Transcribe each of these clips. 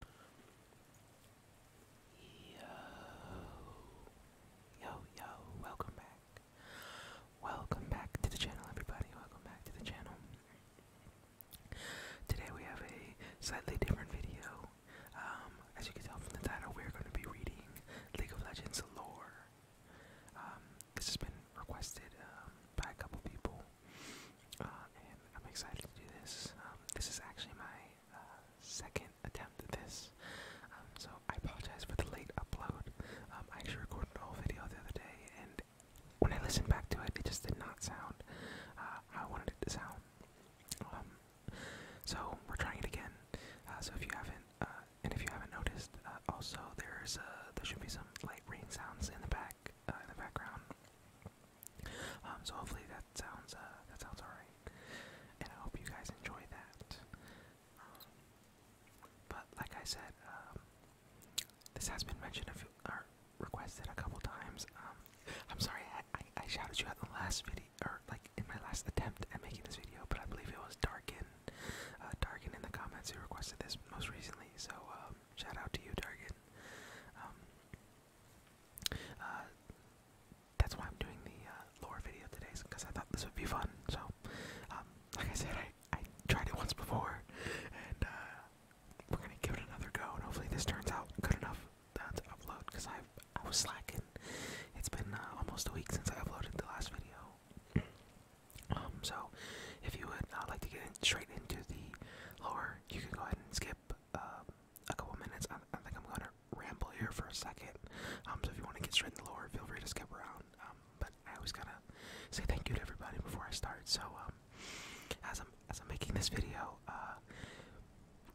Yo, yo, yo, welcome back. Welcome back to the channel, everybody. Welcome back to the channel. Today we have a slightly different video. Um, as you can tell from the title, we're going to be reading League of Legends lore. Um, this has been requested um, by a couple people. Uh, I'm excited to do this. Um, this is actually my uh, second attempt at this. Um, so I apologize for the late upload. Um, I actually recorded a whole video the other day, and when I listened back to it, it just did not sound uh, how I wanted it to sound. so we're trying it again. so if you haven't, and if you haven't noticed, also there's there should be some light rain sounds in the back, in the background. Um, so hopefully that sounds uh, that sounds alright, and I hope you guys enjoy that. Um, but like I said, um, this has been mentioned a few, or requested a couple times. I'm sorry I, shouted you out the last video, or like in my last attempt at making this video, but I believe it was Darken, uh, in the comments who requested this most recently. So shout out to you, Darken. Um, uh, that's why I'm doing the uh, lore video today, because I thought this would be fun. So, um, like I said, I, I tried it once before, and uh, we're gonna give it another go, and hopefully this turns out good enough to upload, because I I was slacking. It's been uh, almost a week since I uploaded the last video. Um, so if you would uh, like to get straight into the lore, you can go ahead and skip. Um, a couple minutes. I, think I'm gonna ramble here for a second. Um, so if you want to get straight in the lore, feel free to skip around. Um, but I always gotta say thank you to everybody before I start. So um, as I'm as I'm making this video, uh,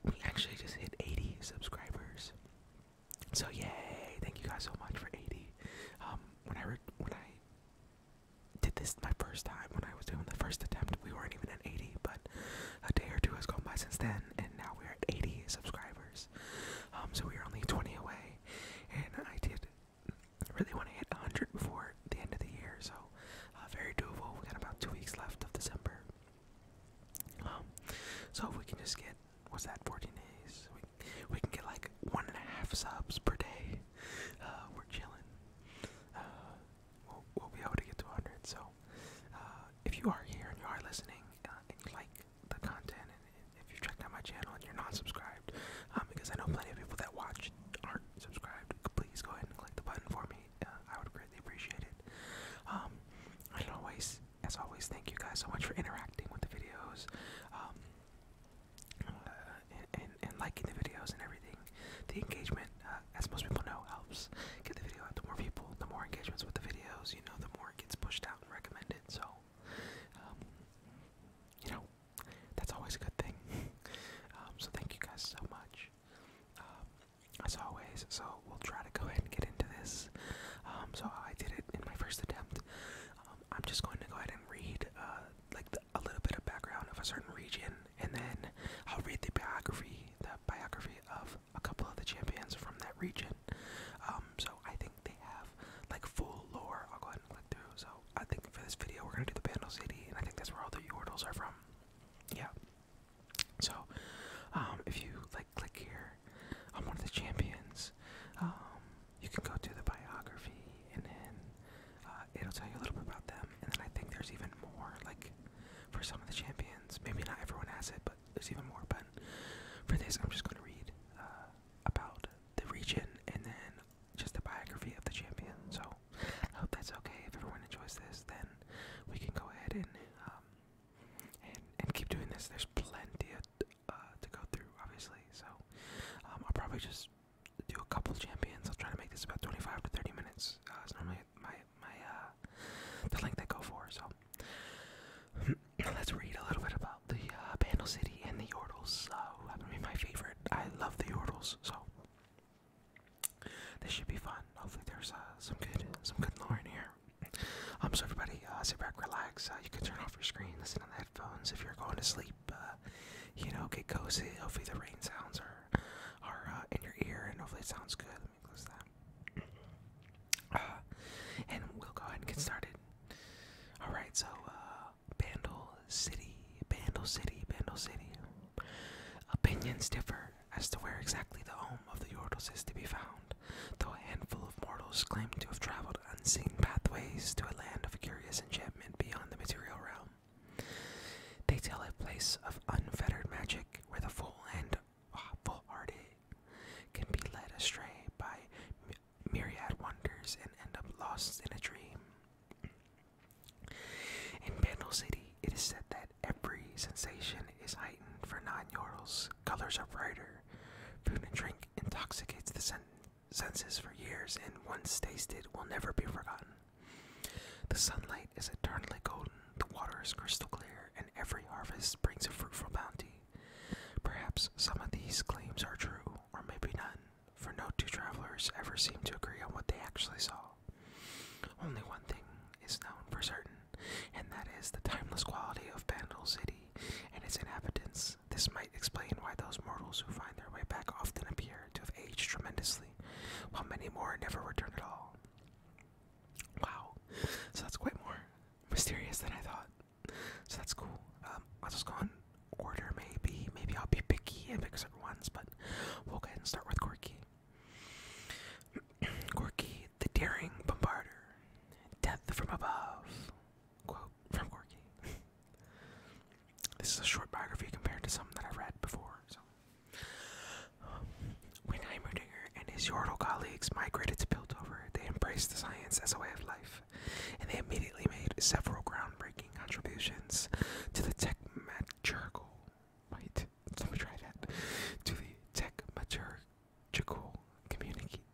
we actually just hit 80 subscribers. So yay! Thank you guys so much for 80. Um, when I did this my first time, when I was doing the first attempt, we weren't even at 80, but a day or two has gone by since then, and now we're at 80 subscribers. Um, so we are only 20 away, and I did really want to hit 100 before the end of the year, so uh, very doable. We got about two weeks left of December. Um, so if we can just get what's that 14 days? We, can get like one and a half subs per day. Uh, we're chilling. Uh, we'll, be able to get to 100. So, uh, if you are here and you are listening uh, and you like the content, and, if you checked out my channel and you're not subscribed, um, because I know plenty of people that watch aren't subscribed, please go ahead and click the button for me. Uh, I would greatly appreciate it. Um, as always, thank you guys so much for interacting with the videos. Um, and, liking the videos and everything, the engagement as most people know, helps get the video out to more people. The more engagements with the videos, you know, the more it gets pushed out and recommended. So, um, you know, that's always a good thing. Um, so, thank you guys so much. Um, as always, so we'll try to go ahead and get into this. so I did it in my first attempt. I'm just going to go ahead and read uh, like a little bit of background of a certain region and then I'll read the biography, the biography of a couple of the champions from that region. Um, so I think they have like full lore. I'll go ahead and click through. So I think for this video we're gonna do the Bandle City, and I think that's where all the Yordles are from. Yeah. So um, if you like click here on one of the champions, um, you can go to the biography, and then uh, it'll tell you a little bit about them. And then I think there's even more like for some of the champions. Maybe not everyone has it, but there's even more. But for this, I'm just going to read uh, about the region and then just the biography of the champion. So I hope that's okay. If everyone enjoys this, then we can go ahead and um, and, and keep doing this. There's plenty of, uh, to go through, obviously. So um, I'll probably just do a couple champions. I'll try to make this about 25 to 30 minutes. Uh, it's normally my my uh, the link they go for. So let's read a little bit about the uh, City and the Yordles, uh, who to be my favorite. I love the Yordles, so this should be fun. Hopefully, there's uh, some good some good lore in here. Um, so everybody, uh, sit back, relax. Uh, you can turn off your screen, listen to the headphones if you're going to sleep. Uh, you know, get cozy. Hopefully, the rain sounds are are in your ear, and hopefully, it sounds good. Let me close that. and we'll go ahead and get started. Alright, so uh, Bandle City, Bandle City, Bandle City. Opinions differ as to where exactly the home of the Yordles is to be found, though a handful of mortals claim to have traveled unseen pathways to a land of curious enchantment beyond the material realm. They tell of a place of unfettered magic where the full and full-hearted can be led astray by myriad wonders and end up lost in a dream. In Bandle City, it is said that every sensation is heightened for non-yordles. Colors are brighter. Food and drink intoxicates the senses for years, and once tasted will never be forgotten. The sunlight is eternally golden. The water is crystal clear, and every harvest brings a fruitful bounty. Perhaps some of these claims are true, or maybe none, for no two travelers ever seem to agree on what they actually saw. Only one thing is known for certain, and that is the timeless quality of Bandle City and its inhabitants. This might explain why those mortals who find their way back often appear to have aged tremendously, while many more never return at all. Wow. So that's quite more mysterious than I thought. So that's cool. Um, I'll just go on order maybe. Maybe I'll be picky and pick certain ones, but we'll go ahead and start with Corky. Corky, the daring bombarder. Death from above. Quote from Corky. this is a short biography compared to some that I've read before, so when Heimerdinger and his Yordle colleagues migrated to Piltover, they embraced the science as a way of life, and they immediately made several groundbreaking contributions to the techmaturgical. Wait, let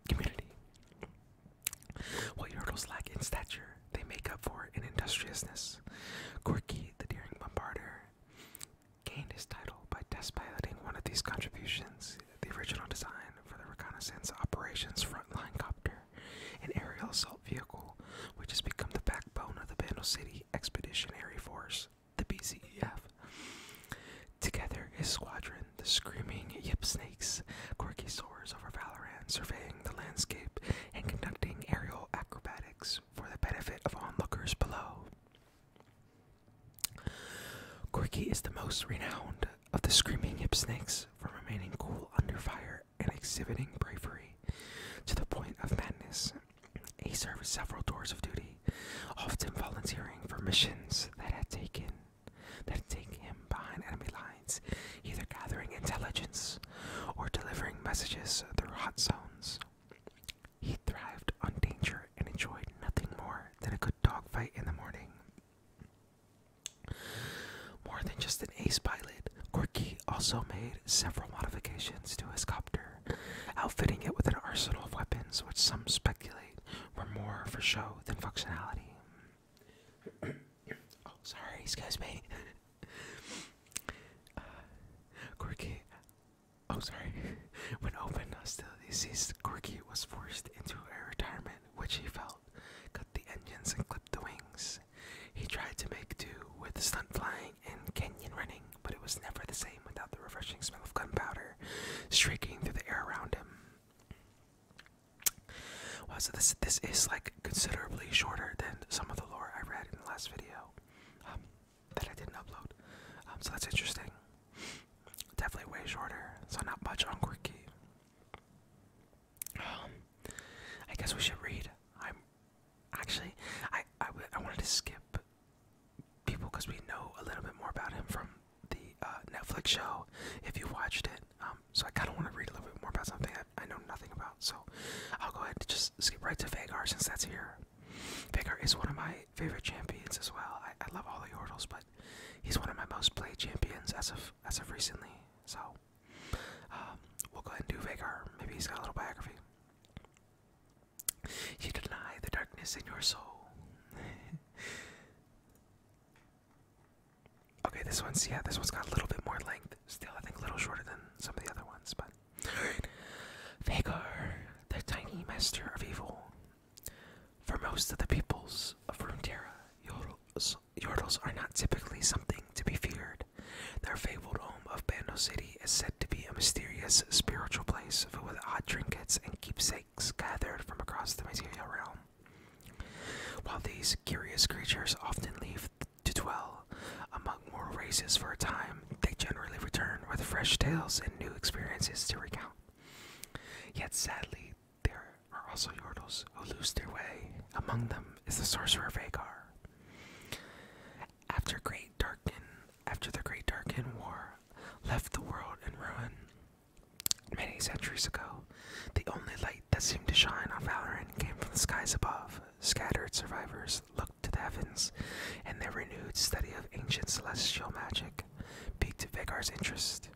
community. While What Yordles lack in stature, they make up for in industriousness. Quirky, the daring bombarder, gained his title by test piloting one of these contributions, the original design for the Reconnaissance Operations Frontline Copter, an aerial assault vehicle which has become the backbone of the Vandal City Expeditionary Force, the BCEF. Together, his squadron, the Screaming Yip Snakes, quirky soars over Valoran, surveying the landscape and conducting aerial acrobatics for the benefit of onlookers below. Corky is the most renowned of the screaming hip snakes for remaining cool under fire and exhibiting bravery to the point of madness. He served several tours of duty, often volunteering for missions that had taken that had taken him behind enemy lines, either gathering intelligence or delivering messages through hot zones. He thrived on danger and enjoyed nothing more than a good dogfight in the morning. More than just an ace pilot, Gorky also made several modifications to his copter, outfitting it with an arsenal of weapons which some speculate were more for show than functionality. oh, sorry, excuse me. uh, oh sorry, when open hostility ceased, Corky was forced into a retirement, which he felt cut the engines and clipped the wings. He tried to make do with stunt flying and canyon running, but it was never the same without the refreshing smell of gunpowder streaking through the air around him. Wow, so this this is like considerably shorter than some of the lore I read in the last video. Um, that I didn't upload. Um, so that's interesting. Definitely way shorter, so not much on Quirky. Um, I guess we should read. I'm actually, I, I, wanted to skip people because we know a little bit more about him from the uh, Netflix show if you watched it. Um, so I kind of want to read a little bit more about something I, I know nothing about. So I'll go ahead and just skip right to Vagar since that's here. Vigor is one of my favorite champions as well. I, love all the Yordles, but he's one of my most played champions as of as of recently. So um, we'll go ahead and do Vigor. Maybe he's got a little biography. You deny the darkness in your soul. okay, this one's yeah, this one's got a little bit more length. Still, I think a little shorter than some of the other ones, but. Vagar, the tiny master of evil, for most of the peoples of Runeterra, yordles, are not typically something to be feared. Their fabled home of Bando City is said to be a mysterious spiritual place filled with odd trinkets and keepsakes gathered from across the material realm. While these curious creatures often leave to dwell among more races for a time, they generally return with fresh tales and new experiences to recount. Yet sadly, there are also Yordles who lose their way. Among them is the sorcerer Vagar. After Great Darken, after the Great Darken War left the world in ruin many centuries ago, the only light that seemed to shine on Valoran came from the skies above. Scattered survivors looked to the heavens in their renewed study of ancient celestial magic piqued Vigar's interest.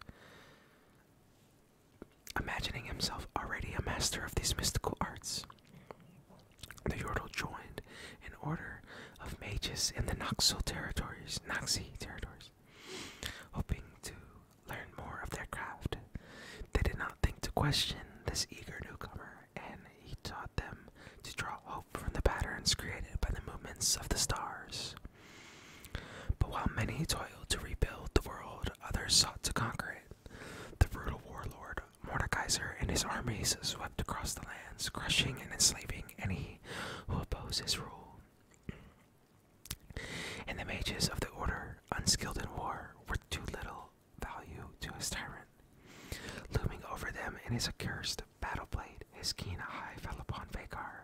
Imagining himself already a master of these mystical arts, the Yordle joined an order of mages in the Noxil territories, Noxie territories, hoping to learn more of their craft. They did not think to question this eager newcomer, and he taught them to draw hope from the patterns created by the movements of the stars. But while many toiled to rebuild the world, others sought to conquer it. The brutal warlord Mordekaiser and his armies swept across the lands, crushing and enslaving any who opposed his rule. And the mages of the order, unskilled in war, were too little value to his tyrant. Looming over them in his accursed first battle blade, his keen eye fell upon Vagar,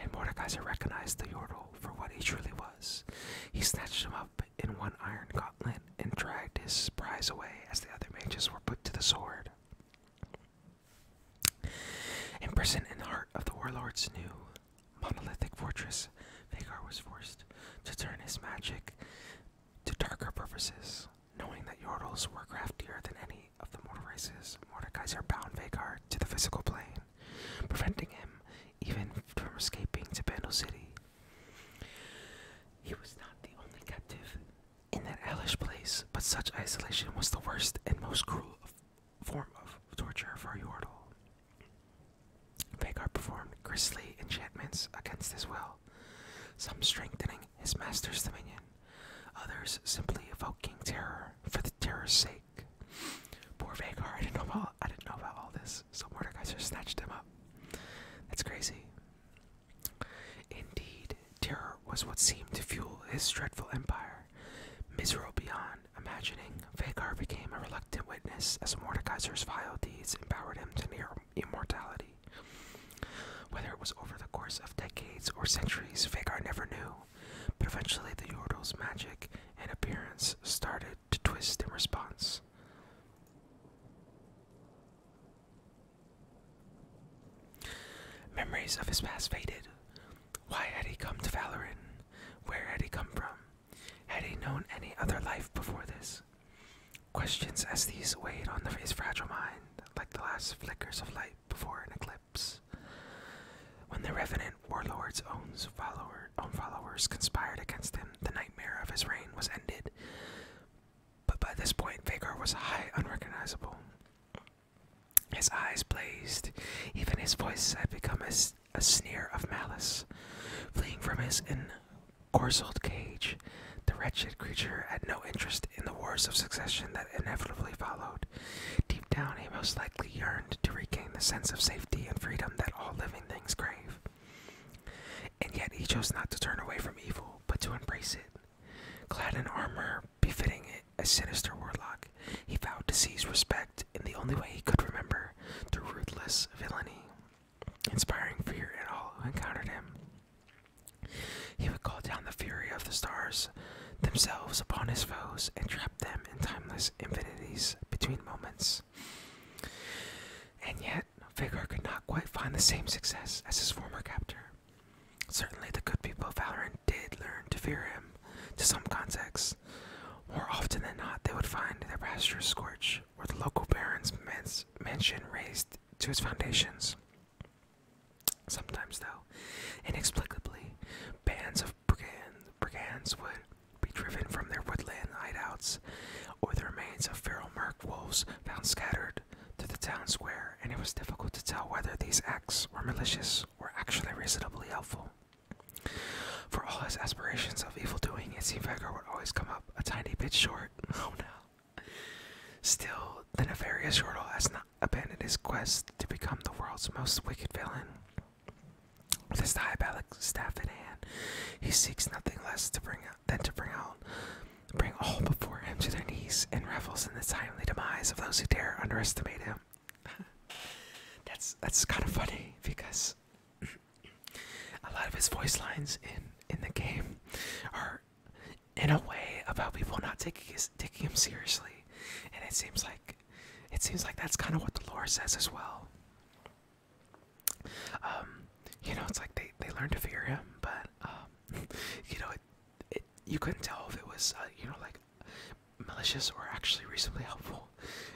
and Mordecai recognized the Yordle for what he truly was. He snatched him up in one iron gauntlet and dragged his prize away as the other mages were put to the sword. Imprisoned in the heart of the warlord's new monolithic fortress, Vagar was forced to turn his magic to darker purposes, knowing that Yordles were craftier than any of the Mordoraises, Mordekaiser bound Vagar to the physical plane, preventing him even from escaping to Bandle City. He was not the only captive in that hellish place, but such isolation was the worst and most cruel form of torture for Yordle. Vagar performed grisly enchantments against his will, some strengthening his master's dominion, others simply evoking terror for the terror's sake. Poor Vagar, I didn't know about I didn't know about all this, so Mordekaiser snatched him up. That's crazy. Indeed, terror was what seemed to fuel his dreadful empire. Miserable beyond imagining, Vagar became a reluctant witness as Mordekaiser's vile deeds empowered him to near immortality. Whether it was over the course of decades or centuries, Vagar never knew, but eventually the Yordle's magic and appearance started to twist in response. Memories of his past faded. Why had he come to Valoran? Where had he come from? Had he known any other life before this? Questions as these weighed on the fragile mind, like the last flickers of light before an eclipse. When the Revenant Warlord's own, followers conspired against him, the nightmare of his reign was ended. But by this point, Vagar was high unrecognizable. His eyes blazed, even his voice had become a sneer of malice. Fleeing from his encorseled cage, the wretched creature had no interest in the wars of succession that inevitably followed. Deep down, he most likely yearned to regain the sense of safety and freedom that all living things crave. And yet, he chose not to turn away from evil, but to embrace it. Clad in armor befitting it, a sinister warlock, he vowed to seize respect in the only way he could remember through ruthless villainy, inspiring fear in all who encountered him. He would call down the fury of the stars themselves upon his foes and trap them in timeless infinities between moments. And yet, Vigar could not quite find the same success as his former captor. Certainly, the good people of Valoran did learn to fear him to some context. More often than not, they would find their pastures scorched, or the local baron's mansion razed to its foundations. Sometimes, though, inexplicably, bands of brigands, would be driven from their woodland hideouts, or the remains of feral merc wolves found scattered to the town square, and it was difficult to tell whether these acts were malicious or actually reasonably helpful. For all his aspirations of evil doing, it seemed Vegard would always come up a tiny bit short. Oh no. Still, the nefarious Yordle has not abandoned his quest to become the world's most wicked villain. With his diabolic staff in hand, he seeks nothing less to bring out, than to bring out, bring all before him to their knees, and revels in the timely demise of those who dare underestimate him. that's that's kind of funny because a lot of his voice lines in in the game are in a way about people not taking taking him seriously and it seems like it seems like that's kind of what the lore says as well. Um, you know, it's like they they learn to fear him, but um, you know, you couldn't tell if it was uh, you know like malicious or actually reasonably helpful.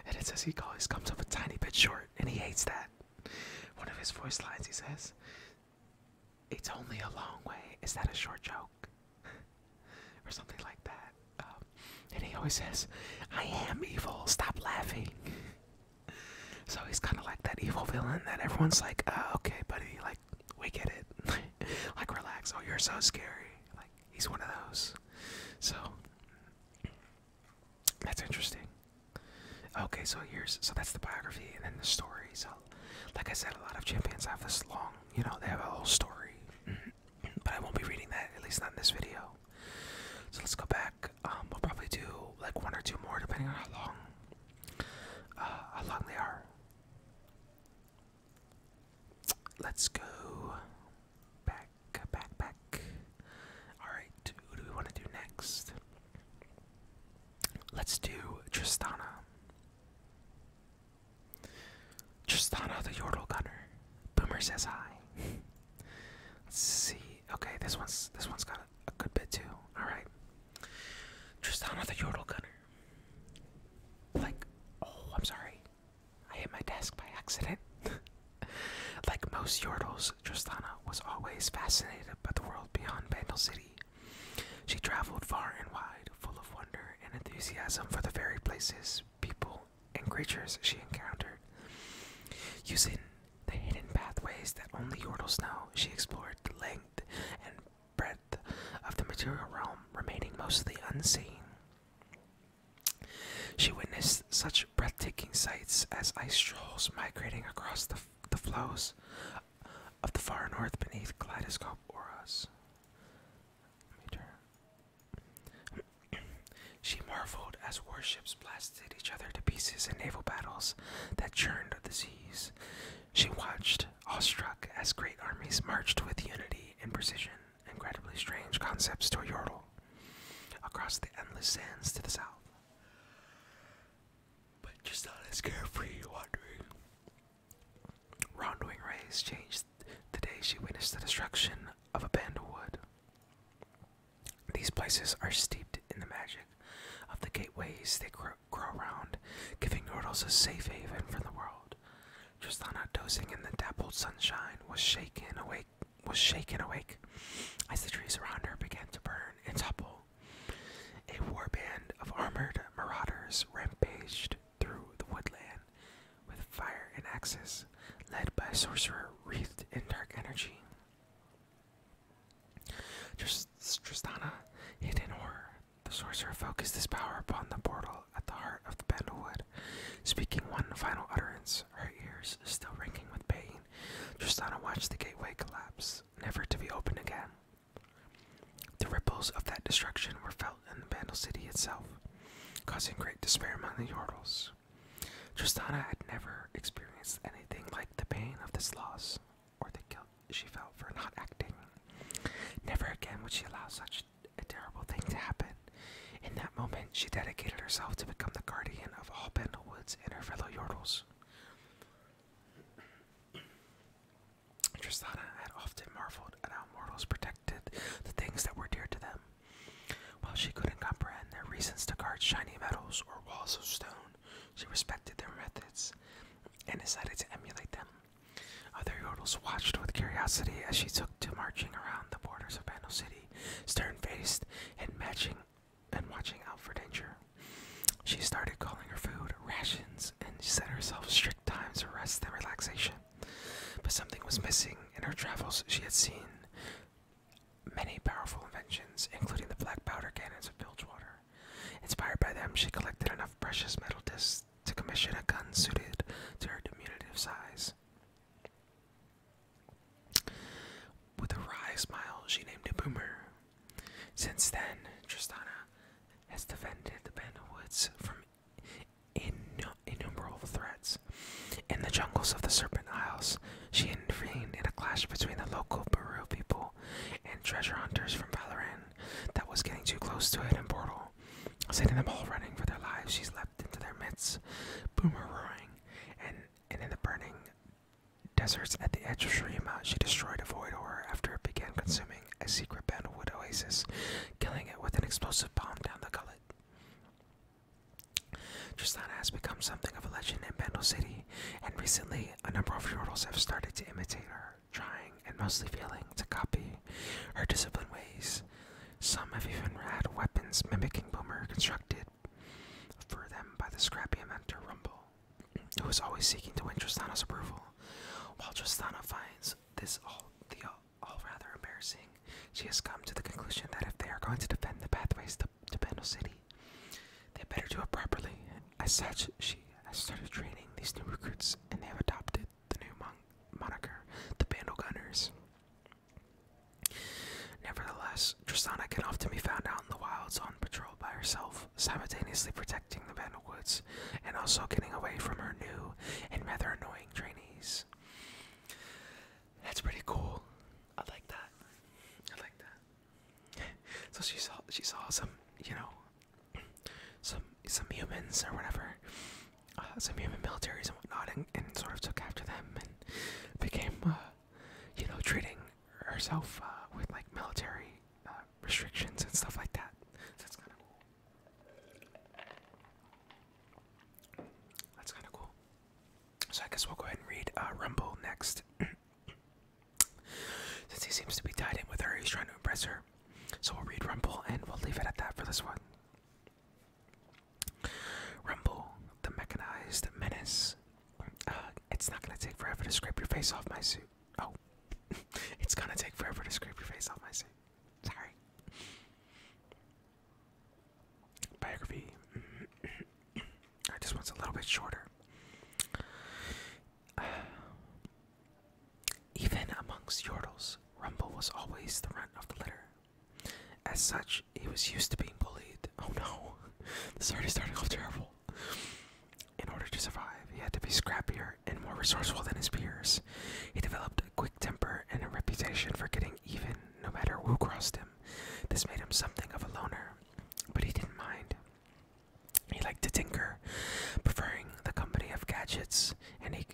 And it says he always comes up a tiny bit short, and he hates that. One of his voice lines, he says, "It's only a long way. Is that a short joke?" or something like that. Um, and he always says, I am evil, stop laughing. so he's kind of like that evil villain that everyone's like, oh, okay, buddy, like, we get it. like, relax, oh, you're so scary. Like, he's one of those. So, that's interesting. Okay, so here's, so that's the biography and then the story. So, like I said, a lot of champions have this long you know, they have a whole story. But I won't be reading that, at least not in this video. So let's go back. Um, we'll probably do like one or two more, depending on how long, uh, how long they are. Let's go back, back, back. All right, who do we want to do next? Let's do Tristana. Tristana the Yordle Gunner. Boomer says hi. Let's see. Okay, this one's this one's got a, good bit too. Alright. Tristana the Yordle Gunner. Like oh I'm sorry. I hit my desk by accident. like most Yordles, Tristana was always fascinated by the world beyond Vandal City. She traveled far and wide, full of wonder and enthusiasm for the very places, people, and creatures she encountered. Using the hidden pathways that only Yordles know, she explored the length and breadth of the material realm, remaining mostly unseen. She witnessed such breathtaking sights as ice trolls migrating across the, the flows of the far north beneath kaleidoscope auras. she marveled as warships blasted each other to pieces in naval battles that churned the seas. She watched, awestruck, as great armies marched with unity and precision, incredibly strange concepts to a yordle, across the endless sands to the south. But just as carefree wandering Wrongdoing rays changed the day she witnessed the destruction of a band of wood. These places are steeped in the magic of the gateways they grow, around, giving mortals a safe haven from the world. Tristana, dozing in the dappled sunshine, was shaken awake. Was shaken awake as the trees around her began to burn and topple. A war band of armored marauders rampaged through the woodland, with fire and axes, led by a sorcerer wreathed in dark energy. Tristana hidden horror. The sorcerer focused his power upon the portal at the heart of the Bandlewood. Speaking one final utterance, her ears still ringing with pain, Tristana watched the gateway collapse, never to be opened again. The ripples of that destruction were felt in the Bandle City itself, causing great despair among the Yordles. Tristana had never experienced anything like the pain of this loss, or the guilt she felt for not acting. Never again would she allow such a terrible thing to happen. In that moment, she dedicated herself to become the guardian of all Woods and her fellow Yordles. Tristana had often marveled at how mortals protected the things that were dear to them. While she couldn't comprehend their reasons to guard shiny metals or walls of stone, she respected their methods and decided to emulate them. Other yordles watched with curiosity as she took to marching around the borders of Bandle City, stern-faced and matching and watching out for danger. She started calling her food rations and set herself strict times of rest and relaxation. But something was missing. In her travels, she had seen many powerful inventions, including the black powder cannons of Bilgewater. Inspired by them, she collected enough precious metal discs to commission a gun suited to her diminutive size. With a wry smile, she named it Boomer. Since then, Tristana has defended the Band of Woods from in innumerable threats. In the jungles of the Serpent Isles, she intervened in a clash between the local Baru people and treasure hunters from Valoran that was getting too close to a hidden portal. Sending them all running for their lives, she leapt into their midst, boomer roaring, and, and in the burning deserts at the edge of Shurima, she destroyed a void aura after it began consuming a secret bandwood oasis, killing it with an explosive bomb down the call Tristana has become something of a legend in Bandle City, and recently a number of yordles have started to imitate her, trying and mostly failing to copy her disciplined ways. Some have even had weapons mimicking Boomer constructed for them by the scrappy inventor Rumble, who is always seeking to win Tristana's approval. While Tristana finds this all the all rather embarrassing, she has come to the conclusion that if they are going to defend the pathways to, Bandol City, they better do it properly. As such, she has started training these new recruits, and they have adopted the new mon moniker, the Bandol Gunners. Nevertheless, Tristana can often be found out in the wilds on patrol by herself, simultaneously protecting the Bandol Woods and also getting away from her new and rather annoying trainees. That's pretty cool. I like that. I like that. So she saw she saw some, you know, some some humans or whatever, uh, some human militaries and whatnot, and, sort of took after them and became, uh, you know, treating herself uh, with like military restrictions and stuff like that. that's kind of cool. That's kind of cool. So I guess we'll go ahead and read uh, Rumble next. Since he seems to be tied in with her, he's trying to impress her. So we'll read Rumble and we'll leave it at that for this one. Rumble, the mechanized menace. Uh, it's not gonna take forever to scrape your face off my suit. Oh, it's gonna take forever to scrape your face off my suit. Sorry biography. I just want a little bit shorter. even amongst yordles, Rumble was always the runt of the litter. As such, he was used to being bullied. Oh no, this already starting off terrible. In order to survive, he had to be scrappier and more resourceful than his peers. He developed a quick temper and a reputation for getting even no matter who crossed him. This made him something of a loner, but he didn't mind. He liked to tinker, preferring the company of gadgets, and he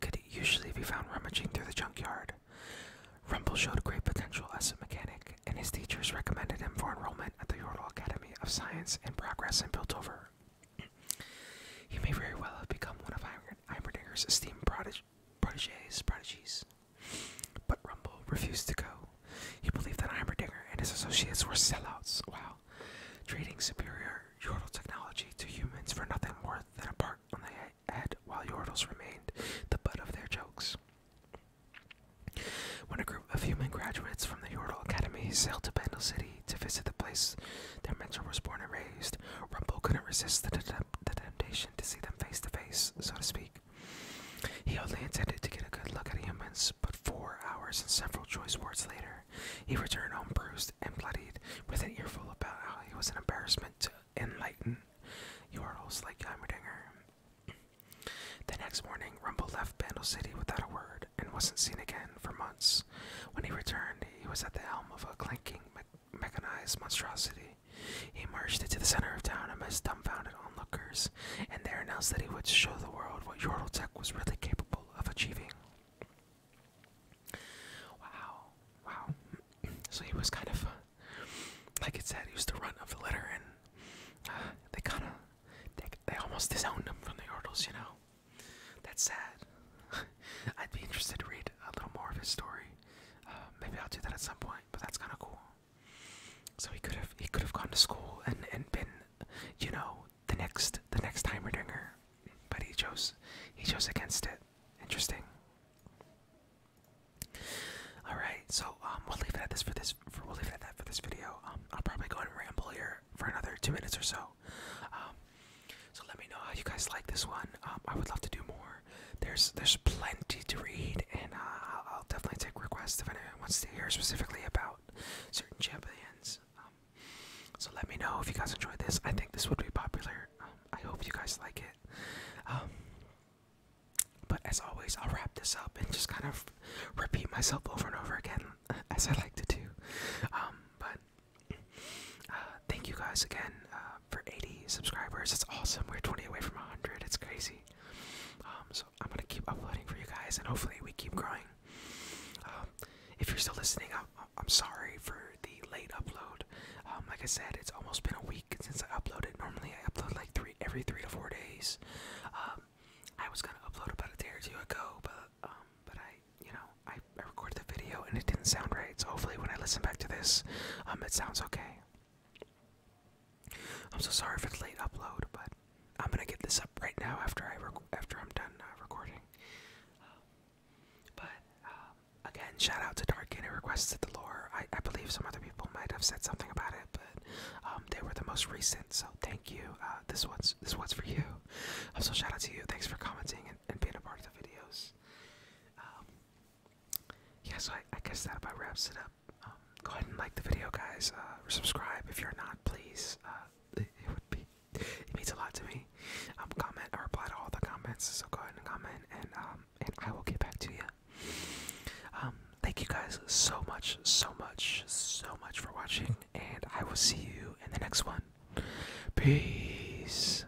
could usually be found rummaging through the junkyard. Rumble showed great potential as a mechanic, and his teachers recommended him for enrollment at the Yordle Academy of Science and Progress in Piltover. He may very well have become one of Heimerdinger's esteemed proteges, prodigies. But Rumble refused to go. He believed that Heimerdinger and his associates were sellouts while trading superior Yordle technology to humans for nothing more than a part on the head while Yordles remained the butt of their jokes. When a group of human graduates from the Yordle Academy sailed to Bandle City to visit the place their mentor was born and raised, Rumble couldn't resist the, temptation to see them face to face, so to speak. He only intended to get a good look at humans, but four hours and several choice words later, he returned home bruised and bloodied, with an earful about how he was an embarrassment to enlighten You are yordles like Heimerdinger. The next morning, Rumble left Bandle City without a word and wasn't seen again for months. When he returned, he was at the helm of a clanking mechanized monstrosity. He marched it to the center of town amidst dumbfounded onlookers, and there announced that he would show the world what Tech was really capable of achieving. Wow, wow. So he was kind of, like it said, he was the runt of the litter, and uh, they kind of, they, they almost disowned him from the Yortles, you know? That's sad. I'd be interested to read a little more of his story. Uh, maybe I'll do that at some point, but that's kind of cool. So he could have he could have gone to school and and been, you know, the next the next Heimerdinger, but he chose he chose against it. Interesting. All right, so um, we'll leave it at this for this we'll leave it at that for this video. Um, I'll probably go and ramble here for another two minutes or so. Um, so let me know how you guys like this one. Um, I would love to do more. There's there's plenty to read, and uh, I'll, definitely take requests if anyone wants to hear specifically about certain champions. Um, so let me know if you guys enjoyed this. I think this would be popular. Um, I hope you guys like it. but as always, I'll wrap this up and just kind of repeat myself over and over again, as I like to do. but uh, thank you guys again uh, for 80 subscribers. It's awesome. We're 20 away from 100. It's crazy. Um, so I'm gonna keep uploading for you guys, and hopefully we keep growing. Um, if you're still listening, I'm, sorry for the late upload. Um, like I said, it's almost been a week since I uploaded. Normally I upload like three every three to four days. I was gonna upload about a day or two ago, but but I, you know, I I recorded the video and it didn't sound right, so hopefully when I listen back to this, um, it sounds okay. I'm so sorry for the late upload, but I'm gonna get this up right now after I record. after I'm done uh, recording. Um, but um, again, shout out to Dark Darkin who requested the lore. I, I believe some other people might have said something about it, but um, they were the most recent, so thank you. Uh, this was this one's for you. Um, so shout out to you. Thanks for commenting and, and being a part of the videos. Um, yeah, so I, guess that about wraps it up. Um, go ahead and like the video, guys. Uh, subscribe if you're not, please. Uh, it, would be, it means a lot to me. Um, comment or reply to all the comments. So go ahead and comment, and um, and I will get back to you. Um, thank you guys so much, so much, so much for watching, and I will see you in the next one. Peace.